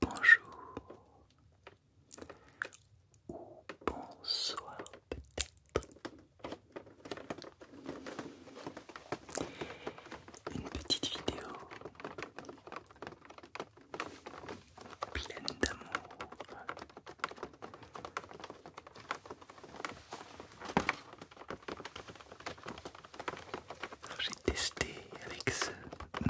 Bonjour ou bonsoir peut une petite vidéo pleine d'amour. J'ai testé avec ce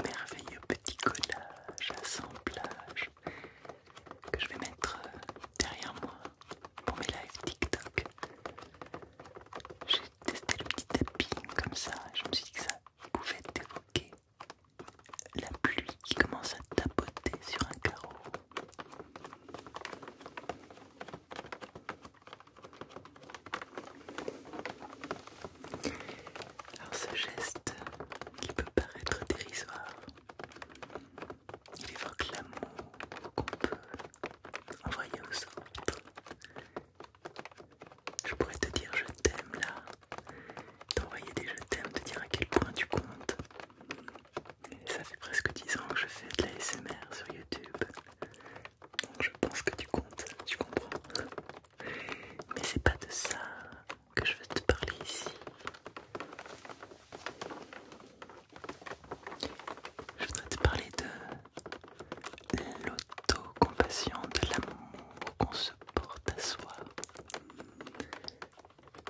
merveilleux petit collage, assemblage que je vais mettre euh, derrière moi pour mes lives TikTok. J'ai testé le petit tapping comme ça, je me suis dit que ça pouvait évoquer la pluie qui commence à tapoter sur un carreau. Alors ce geste qui peut paraître dérisoire, il évoque l'amour qu'on peut envoyer aux autres. Je pourrais te dire je t'aime là, T'envoyer des je t'aime, de dire à quel point tu comptes. ça fait presque 10 ans que je fais de la SMR sur YouTube. Donc je pense que tu comptes, tu comprends. Mais c'est pas de ça que je veux te parler ici. Je voudrais te parler de l'autocompassion, de l'amour qu'on se porte à soi.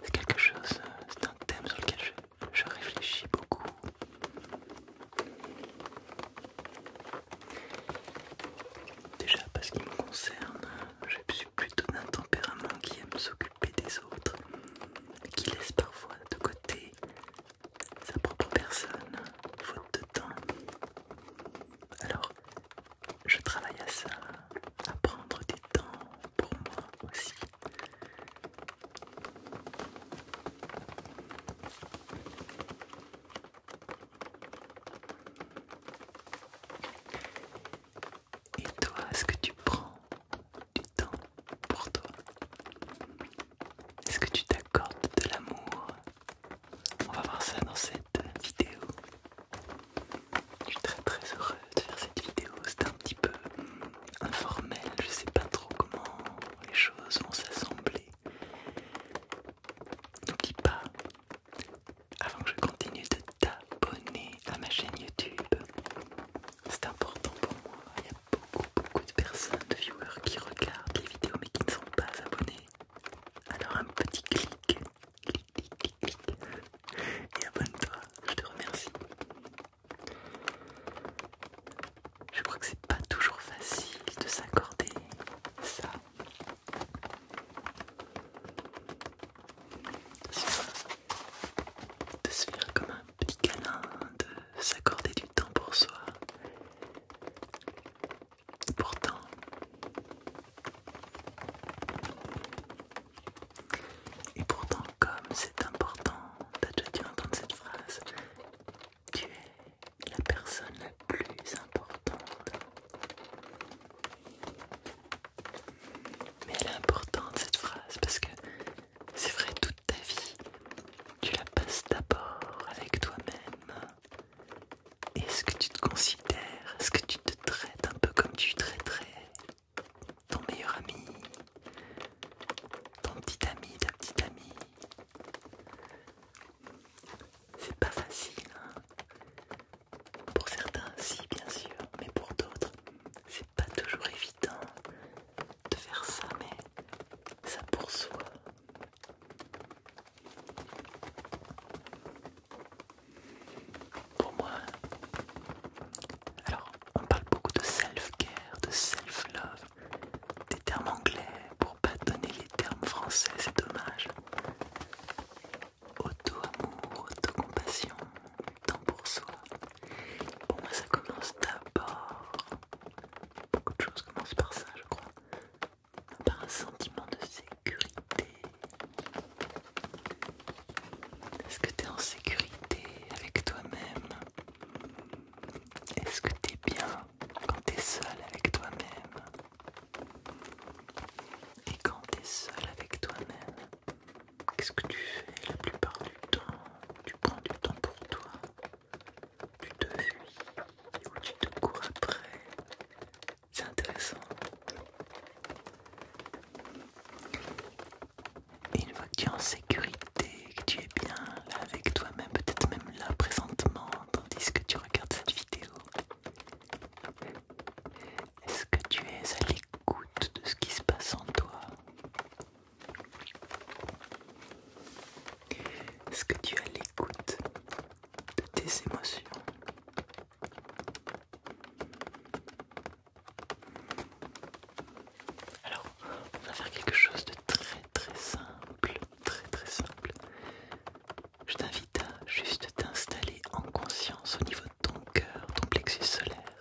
C'est quelque chose, c'est un thème sur lequel je, réfléchis beaucoup. Déjà parce qu'il me concerne, je suis plutôt d'un tempérament qui aime s'occuper des autres, qui laisse parfois de côté sa propre personne, faute de temps. Alors, je travaille à ça, à prendre du temps pour moi aussi. Et toi, est-ce que tu prends du temps pour toi Est-ce que tu t'accordes de l'amour On va voir ça dans cette vidéo. Je suis très très heureux de faire cette vidéo, c'est un petit peu hmm, informel, je sais pas trop comment les choses vont s'assembler. N'oublie pas, avant que je continue, de t'abonner à ma chaîne YouTube. C'est important pour moi, il y a beaucoup beaucoup de personnes, de viewers qui regardent les vidéos mais qui ne sont pas abonnés. Alors un petit clic et abonne-toi, je te remercie. Je crois que c'est pas toujours facile de s'accorder ça. De se faire comme un petit câlin, de s'accorder du temps pour soi. Pourtant, et pourtant, comme c'est important, t'as déjà entendre cette phrase, tu es la personne la plus importante. Mais elle est importante cette phrase parce que c'est vrai, toute ta vie, tu la passes d'abord avec toi-même. Est-ce que tu te considères, est-ce que tu te traites un peu comme tu traiterais ton meilleur ami, ton petit ami, ta petite amie. C'est pas facile. Hein. pour certains, si bien sûr, mais pour d'autres, c'est pas toujours évident de faire ça, mais ça pour soi. Pour moi, alors on parle beaucoup de self-care, de self-love, des termes anglais pour pas donner les termes français, c'est dommage. Auto-amour, auto-compassion, temps pour soi. Pour moi, ça commence d'abord. Beaucoup de choses commencent par ça, je crois. Par un sentiment de sécurité, est-ce que t'es en sécurité avec toi-même Est-ce que t'es bien quand t'es seul avec toi-même Et quand t'es seul avec toi-même, qu'est-ce que tu fais la plupart du temps Tu prends du temps pour toi tu te fuis ou tu te cours après. C'est intéressant une fois que tu es en sécurité, que tu es bien avec toi-même, peut-être même là présentement, tandis que tu regardes cette vidéo, est-ce que tu es à l'écoute de ce qui se passe en toi Est-ce que tu es à l'écoute de tes émotions alors, on va faire quelque chose de très très simple, très très simple. Je t'invite à juste t'installer en conscience au niveau de ton cœur, ton plexus solaire.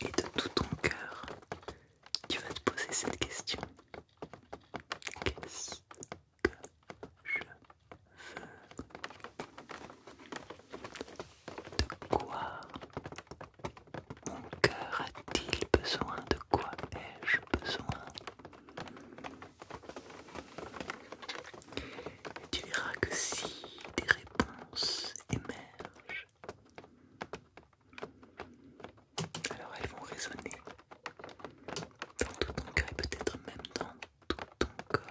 Et de tout ton cœur, tu vas te poser cette question que je veux. De quoi mon cœur a-t-il besoin De quoi ai-je besoin Et tu verras que si des réponses émergent, alors elles vont résonner dans tout ton cœur et peut-être même dans tout ton corps.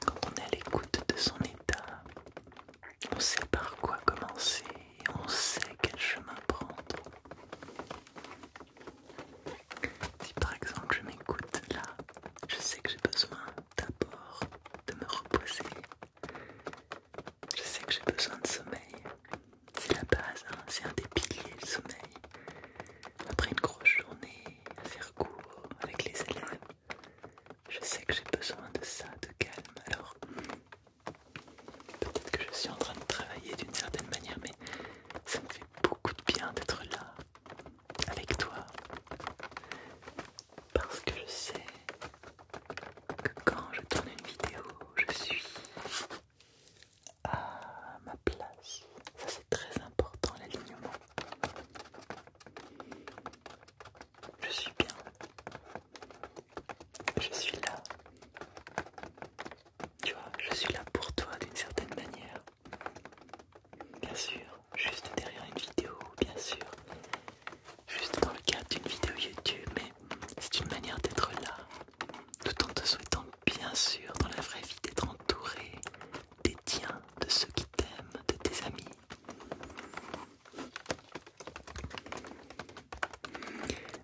Quand on est à l'écoute de son état, on sait par quoi commencer on sait quel chemin prendre. Si par exemple je m'écoute là, je sais que j'ai besoin d'abord de me reposer je sais que j'ai besoin de sommeil. C'est la base, hein. c'est un des piliers, le sommeil. Après une grosse journée à faire court avec les élèves, je sais que j'ai besoin de ça, de calme. Alors, peut-être que je suis en train de travailler d'une certaine manière, mais ça me fait beaucoup de bien d'être là, avec toi. Parce que je sais que quand je tourne une vidéo, je suis à ma place. Ça c'est très important l'alignement. Je suis bien. Je suis là. Tu vois, je suis là pour toi d'une certaine manière. Bien sûr, juste derrière une vidéo, bien sûr, juste dans le cadre d'une vidéo YouTube, mais c'est une manière d'être là, tout en te souhaitant bien sûr dans la vraie vie d'être entouré des tiens, de ceux qui t'aiment, de tes amis.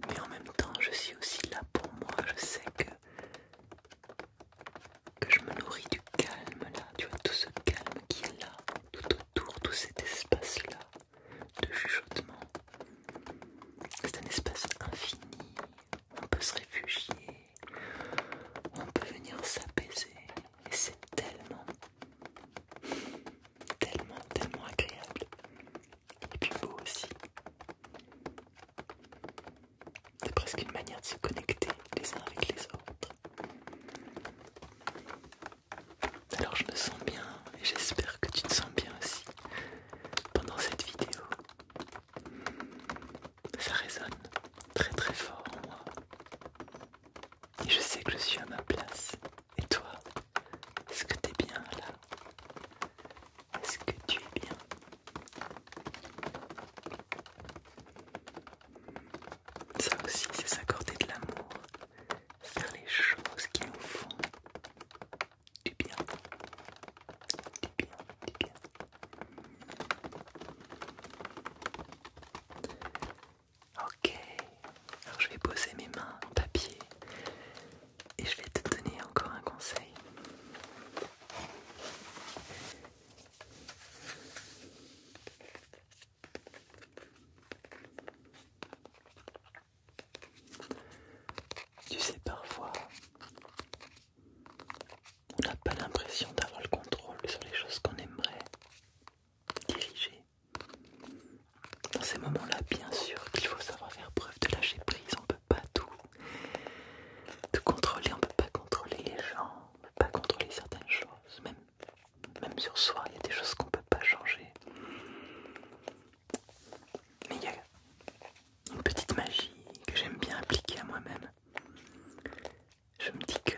Mais en même temps, je suis aussi là pour moi, je sais que je me nourris du calme là, tu vois, tout ce calme qui est là, tout autour, tout cet espace là de chuchotement. C'est un espace infini, on peut se réfugier, on peut venir s'apaiser et c'est tellement, tellement, tellement agréable et puis beau aussi. C'est presque une manière de se connecter les uns avec les autres. Alors je me sens bien et j'espère que tu te sens bien aussi pendant cette vidéo. Hmm, ça résonne très très fort en moi. Et je sais que je suis à ma place. Et toi, est-ce que t'es bien là Est-ce que tu es bien Ça aussi, c'est s'accorder de l'amour faire les choses qui nous font du bien. Du bien, du bien. Ok, alors je vais poser mes mains papier et je vais te donner encore un conseil. Tu sais, parfois, on n'a pas l'impression d'avoir le contrôle sur les choses qu'on aimerait diriger. Dans ces moments-là, bien sûr qu'il faut savoir faire preuve de lâcher prise. On ne peut pas tout, contrôler, on ne peut pas contrôler les gens, on ne peut pas contrôler certaines choses, même même sur soi, il y a des choses qu'on ne peut pas changer. Mais il y a une petite magie que j'aime bien appliquer à moi-même. Je me dis que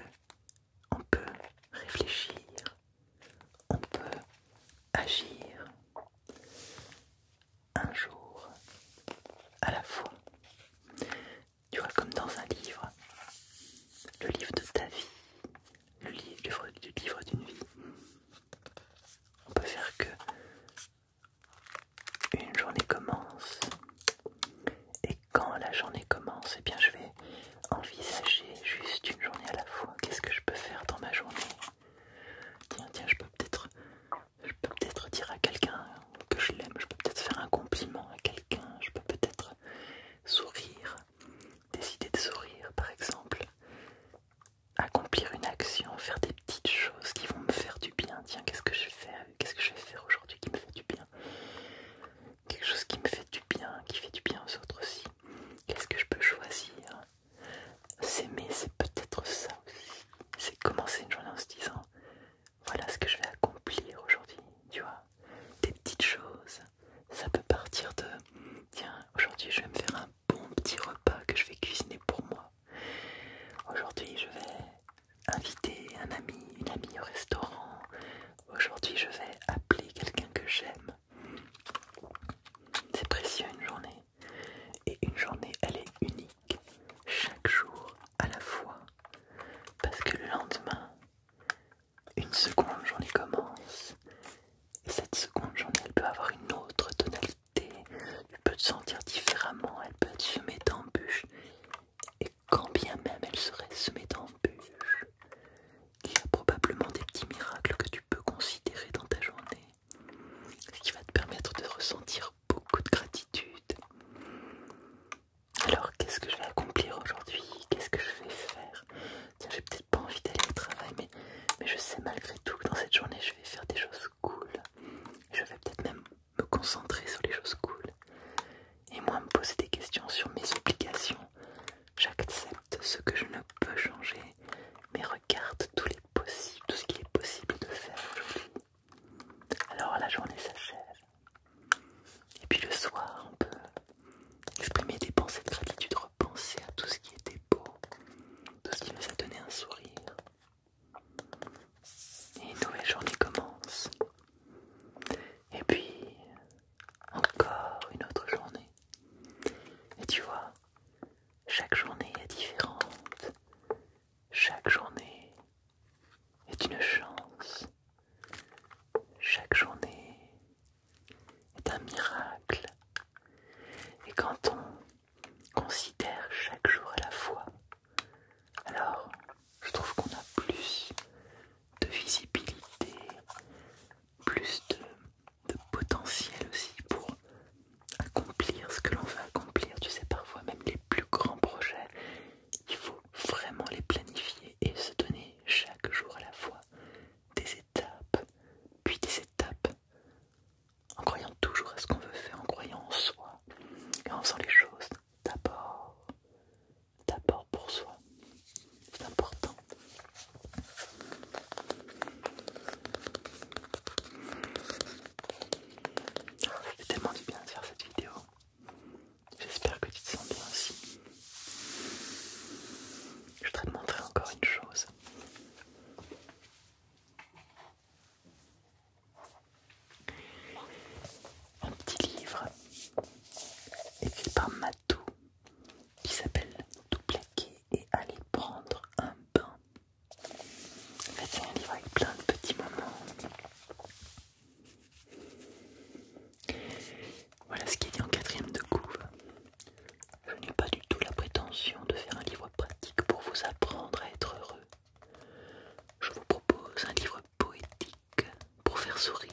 on peut réfléchir, on peut agir un jour à la fois. Tu vois, comme dans un livre, le livre de ta vie, le livre, d'une vie. On peut faire que une journée commence et quand la journée commence, et eh bien je vais envisager juste une journée à la fois. Qu'est-ce que je peux faire dans ma journée Tiens, tiens, je peux peut-être, je peux peut-être dire à quelqu'un que je l'aime. Je peux peut-être faire un compliment à quelqu'un. Je peux peut-être sourire des de sourire par exemple, accomplir une action, faire des petites choses qui vont me faire du bien. Tiens, qu'est-ce que je vais faire Qu'est-ce que je vais faire aujourd'hui qui me fait du bien Quelque chose qui me fait du bien, qui fait du bien aux autres aussi. Qu'est-ce que je peux choisir S'aimer, c'est peut-être ça aussi. C'est commencer une journée en se disant voilà ce que je vais accomplir aujourd'hui, tu vois. Des petites choses, ça peut partir de tiens, aujourd'hui je vais me faire un bon petit repas que je vais cuisiner pour moi. Aujourd'hui je vais inviter un ami, une amie au restaurant. Aujourd'hui je vais appeler quelqu'un que j'aime. C'est précieux une journée. Et une journée elle est unique. Chaque jour à la fois. Parce que le lendemain, une seconde journée commence et cette seconde journée elle peut avoir une autre tonalité, Tu peux te sentir différemment, elle peut être semée d'embûches et quand bien même elle serait semée d'embûches, il y a probablement des petits miracles que tu peux considérer dans ta journée, ce qui va te permettre de ressentir beaucoup de gratitude. Alors qu'est-ce que je vais accomplir aujourd'hui Qu'est-ce que je vais faire tiens j'ai peut-être pas envie d'aller au travail mais, je sais malgré tout que dans cette journée je vais faire des choses cool je vais peut-être même me concentrer sur les choses cool et moi me poser des questions sur mes obligations j'accepte ce que je ne peux changer mais regarde tout ce qu'il est possible de faire aujourd'hui alors la journée s'achève et puis le soir on peut exprimer des pensées de gratitude penser à tout ce qui était beau, tout ce qui nous a donné un sourire. Et une nouvelle journée commence. Et puis, encore une autre journée. Et tu vois, chaque journée est différente. Chaque journée est une chance. Chaque journée est un miracle. Et quand on considère chaque jour à la fois, alors je trouve qu'on a plus de visibilité, plus de, potentiel aussi pour accomplir ce que l'on veut accomplir. Tu sais, parfois même les plus grands projets, il faut vraiment les planifier et se donner chaque jour à la fois des étapes, puis des étapes, en croyant toujours à ce qu'on veut faire, en croyant en soi, et en faisant les choses d'abord, d'abord pour soi. C'est important. J'ai tellement du bien de faire cette vidéo. J'espère que tu te sens bien aussi. Je voudrais te montrer encore une chose. Un petit livre écrit par Matou qui s'appelle Tout plaquer et aller prendre un bain. En fait, c'est un livre avec plein de petits moments. Voilà ce qui est dit en quatrième de couvre. Je n'ai pas du tout la prétention de faire un livre pratique pour vous apprendre à être heureux. Je vous propose un livre poétique pour faire sourire,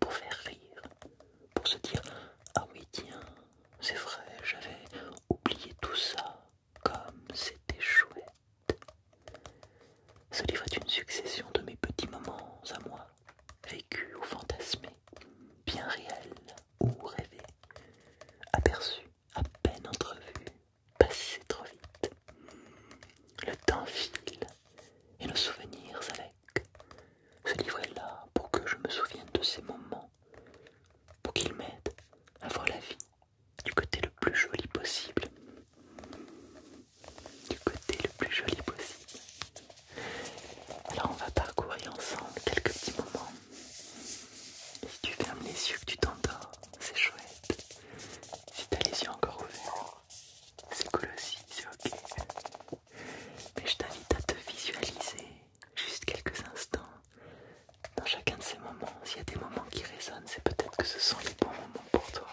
pour faire rire, pour se dire Ah oui, tiens, c'est vrai, j'avais oublié tout ça, comme c'était chouette. Ce livre est une succession de mes petits moments à moi, vécu ou fantasmé, bien réel ou rêvé, aperçu, à peine entrevu, passé trop vite. Le temps file et nos souvenirs avec. Ce livre est là pour que je me souvienne de ces moments, pour qu'il m'aide à voir la vie du côté le plus joli possible. Du côté le plus joli possible. Alors on va parcourir ensemble quelques petits moments. si tu fermes les yeux que tu t'endors, c'est chouette. Si t'as les yeux encore ouverts, c'est cool aussi, c'est ok. Mais je t'invite à te visualiser juste quelques instants dans chacun de ces moments. S'il y a des moments qui résonnent, c'est peut-être que ce sont les bons moments pour toi.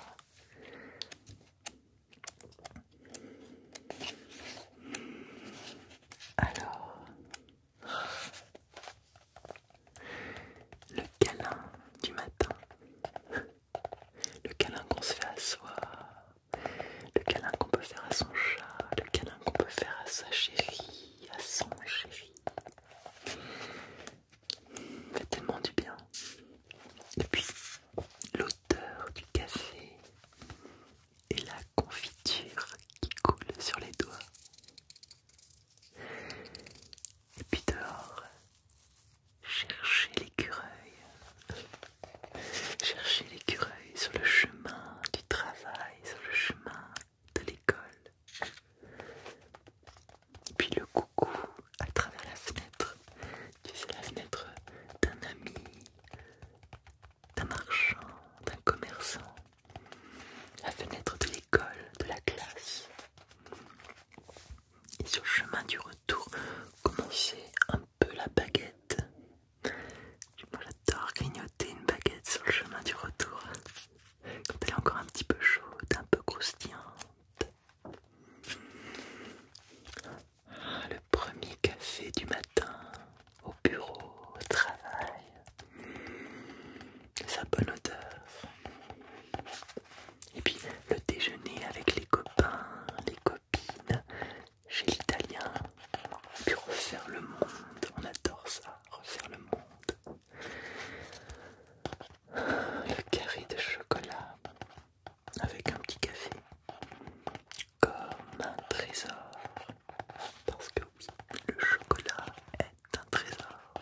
Alors, le câlin du matin, le câlin qu'on se fait à soi, le câlin qu'on peut faire à son chat, le câlin qu'on peut faire à sa chérie, à son chéri. Fait tellement du bien. depuis l'automne l'odeur du café et la confiture qui coule sur les doigts. Et puis dehors, chercher l'écureuil. chercher l'écureuil sur le chemin du travail, sur le chemin de l'école. Puis le coucou à travers la fenêtre. Tu sais, la fenêtre d'un ami, d'un marchand, d'un commerçant, la fenêtre de l'école, de la classe. Et sur le chemin du retour, commencer un peu la baguette. Moi j'adore grignoter une baguette sur le chemin du retour. Quand elle est encore un petit peu chaude, un peu croustillante le premier café du matin, au bureau, au travail. Sa bonne odeur. Et puis le déjeuner avec les copains, les copines, chez l'italien. Puis refaire le monde, on adore ça, refaire le monde. Le carré de chocolat avec un petit café comme un trésor. Parce que oui, le chocolat est un trésor.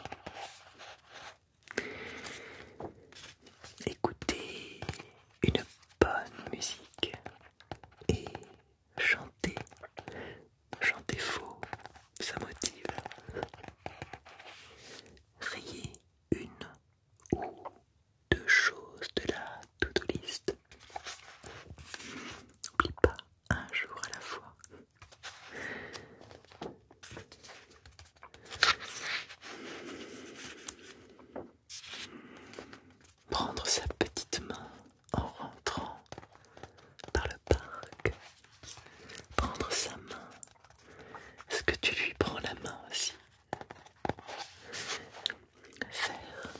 Écoutez une bonne musique et chantez. Chantez faux, ça motive. Riez une ou deux choses de la to-do list. N'oublie pas un jour à la fois. Prendre sa petite main en rentrant par le parc. Prendre sa main. Est-ce que tu lui prends la main aussi faire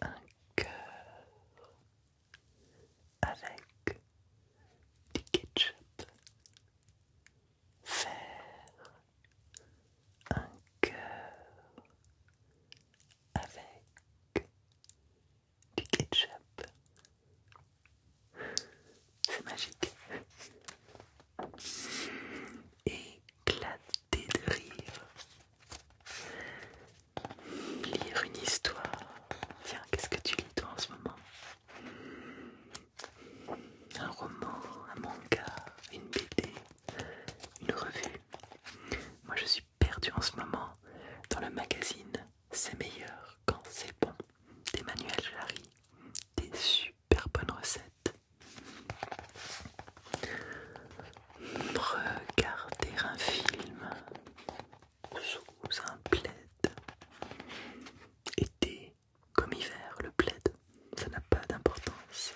un cœur avec du ketchup, faire un cœur avec du ketchup. C'est magique éclater de rire. Lire une histoire. Tiens, qu'est-ce que tu lis toi en ce moment Un roman, un manga, une BD, une revue. Moi je suis perdue en ce moment dans le magazine C'est meilleur quand c'est bon Des d'Emmanuel Jarry. Des super bonnes recettes Regarder un film sous un plaid. Été comme hiver, le plaid, ça n'a pas d'importance.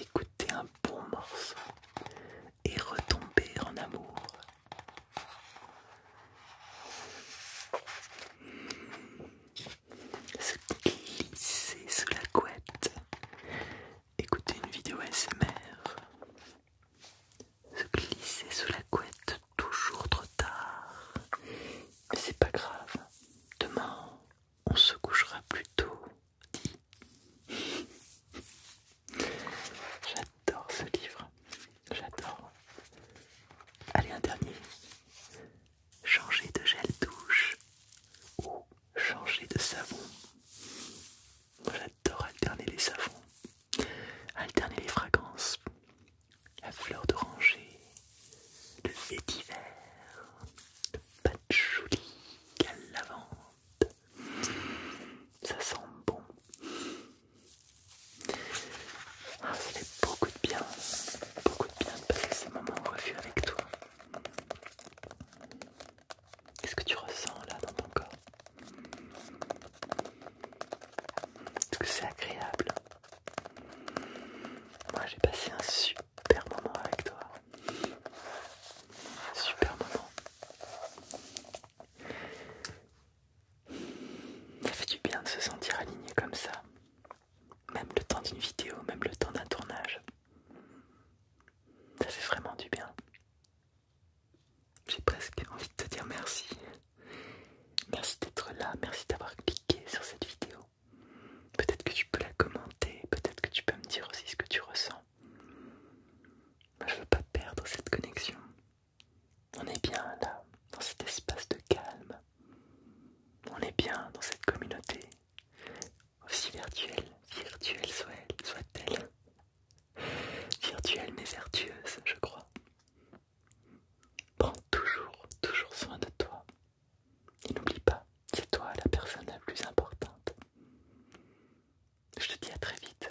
Écouter un bon morceau et retomber en amour se glisser sous la couette, écouter une vidéo SMR se glisser sous la couette toujours trop tard, mais c'est pas grave, demain on se couchera plus tôt, j'adore ce livre. J'adore. Allez, un dernier. Changer de gel douche ou changer de savon. J'adore alterner les savons, alterner les fragrances, la fleur d'oranger, le vétiver, le patchouli, la lavande. Ça sent bon. Ah, ça fait beaucoup de bien, beaucoup de bien de passer ces moments au avec toi. Qu'est-ce que tu ressens là dans ton corps Est-ce que c'est agréable Moi j'ai passé un super moment avec toi. Super moment. Ça fait du bien de se sentir aligné comme ça. Même le temps d'une vidéo, même le temps d'un tournage. Ça fait vraiment du bien. J'ai presque envie de te dire merci. Merci d'être là, merci d'avoir cliqué sur cette vidéo. Peut-être que tu peux la commenter, peut-être que tu peux me dire aussi ce que tu ressens. Je veux pas perdre cette connexion. On est bien là, dans cet espace de calme. On est bien dans cette communauté, aussi virtuelle, virtuelle soit-elle. Virtuelle mais vertueuse, je crois. Prends toujours, toujours soin de toi. Et n'oublie pas, c'est toi la personne la plus importante. Je te dis à très vite.